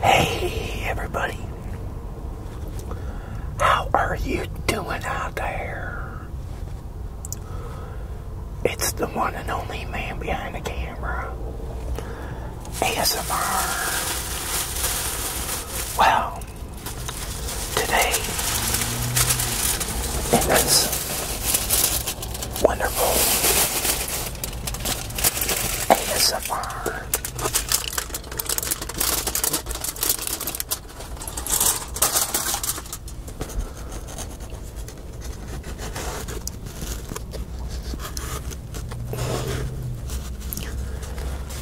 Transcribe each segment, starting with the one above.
Hey everybody, how are you doing out there? It's the one and only man behind the camera, ASMR. Well, today in this wonderful ASMR.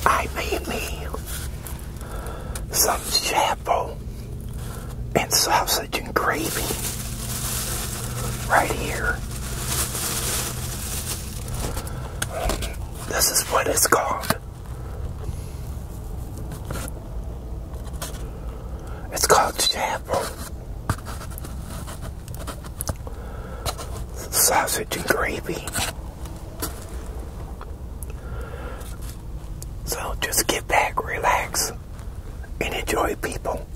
I made me some chapel and sausage sausage and gravy right here. This is what it's called. It's called chapel. Sausage and gravy. So just get back, relax, and enjoy people.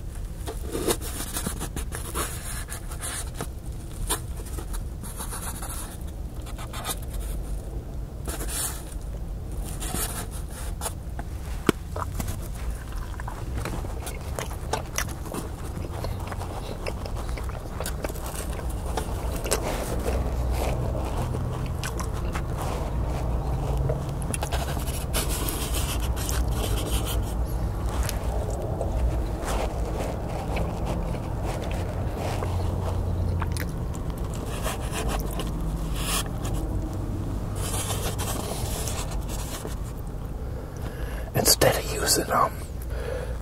Instead of using um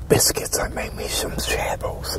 biscuits, I made me some shabbles.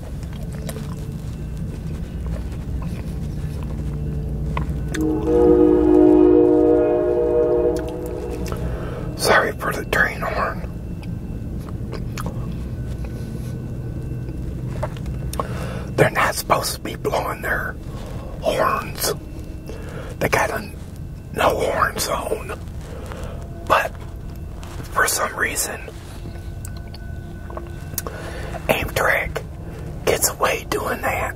Sorry for the train horn. They're not supposed to be blowing their horns. They got a no horn zone. But for some reason, Amtrak gets away doing that.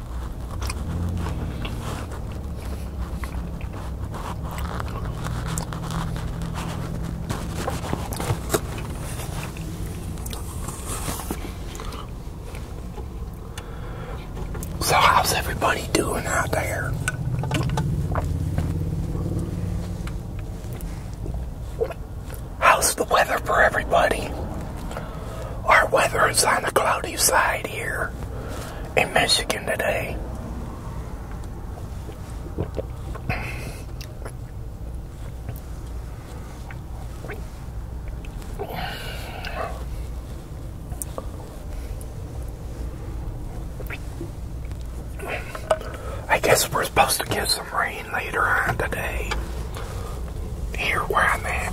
So how's everybody doing out there? How's the weather for everybody? Our weather is on the cloudy side here in Michigan today. I guess we're supposed to get some rain later on today. Here where I'm at.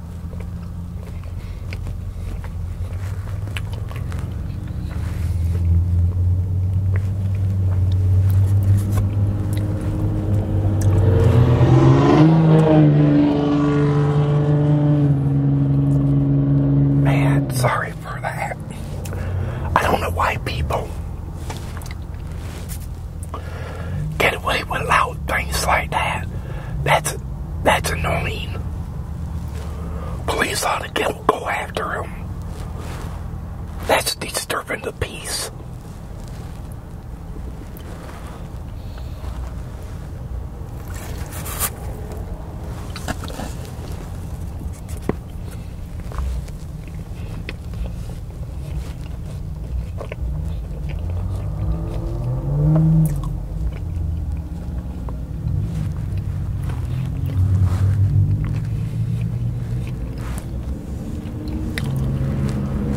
Man, sorry for that. I don't know why people get away with loud things like that. That's that's annoying. Police ought to get, go after him. That's disturbing the peace.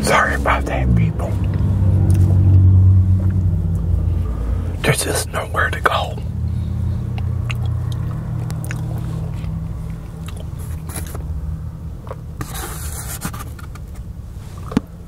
Sorry about that, people. There's just nowhere to go.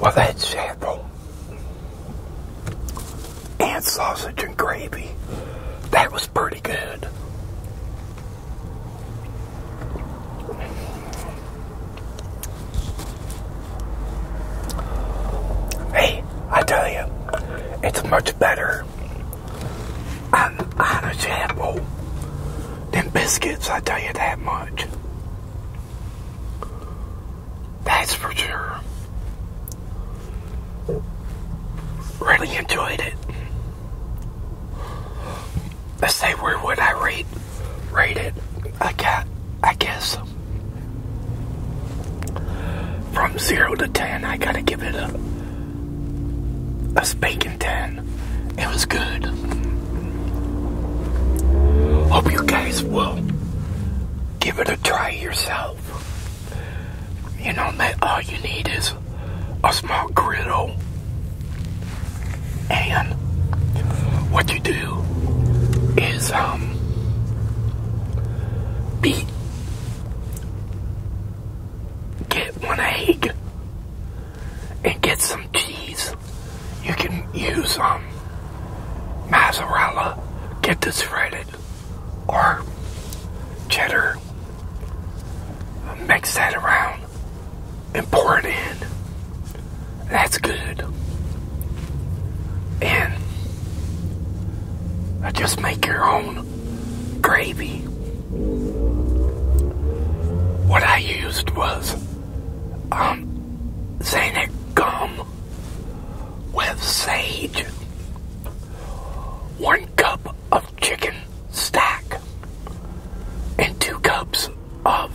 Well, that's sample and sausage and gravy. That was pretty good. Hey, I tell you, it's much better I'm unashamable than biscuits, I tell you that much. That's for sure. Really enjoyed it. I say where would I rate rate it? I got I guess from zero to ten I gotta give it a a spanking ten. It was good. Hope you guys will give it a try yourself. You know, all you need is a small griddle and what you do is um beat get one egg and get some cheese, you can use um, mozzarella, get this shredded, or cheddar. Mix that around and pour it in. That's good. And I uh, just make your own gravy. What I used was um, Zanic gum with sage, one cup of chicken stock, and two cups of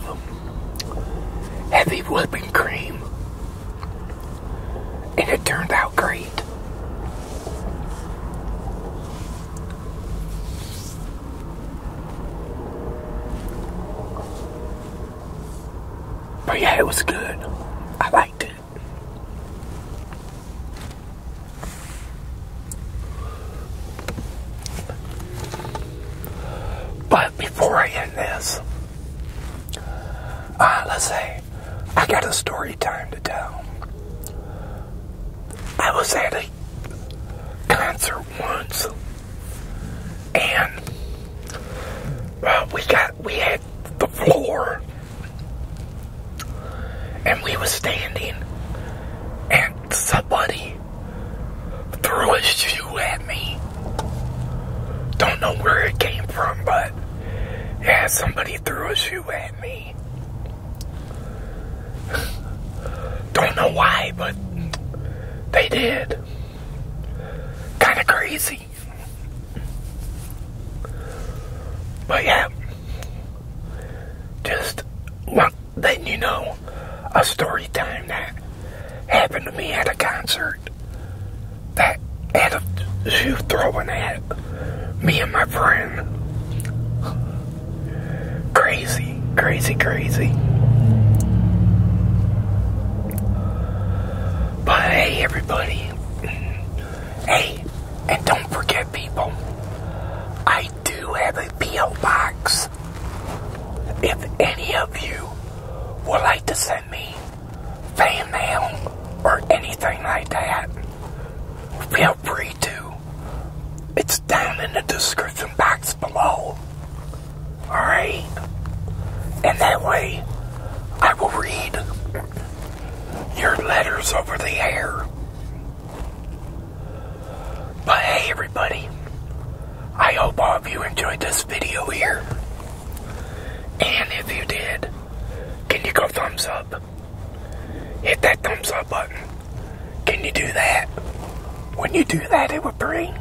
heavy whipping cream. And it turned out great. But yeah, it was good. I liked it. But before I end this, uh, let's say I got a story time to tell. I was at concert once, and uh, we got we had the floor, and we was standing, and somebody threw a shoe at me. Don't know where it came from, but yeah, somebody threw a shoe at me. Don't know why, but they did. Kind of crazy. But yeah, just well, letting you know a story time that happened to me at a concert that had a shoe throwing at me and my friend. Crazy, crazy, crazy. But everybody. Hey, and don't forget, people, I do have a P.O. box. If any of you would like to send me fan mail or anything like that, feel free it's down in the description box below. Alright? And that way, I will read your letters over the air. But hey, everybody, I hope all of you enjoyed this video here. And if you did, can you go thumbs up? hit that thumbs up button. Can you do that? When you do that, it will bring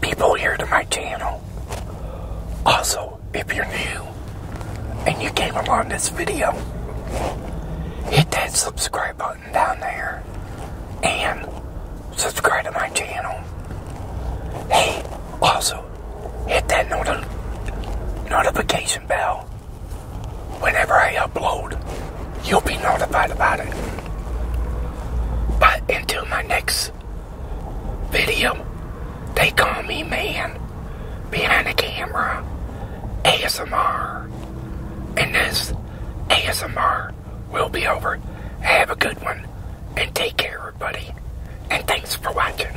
people here to my channel. Also, if you're new and you came along this video, hit that subscribe button down there and subscribe to my channel. Hey, also, hit that not notification bell whenever I upload, you'll be notified about it. But until my next video, they call me man behind the camera, ASMR. And this ASMR will be over. Have a good one and take care, everybody. And thanks for watching.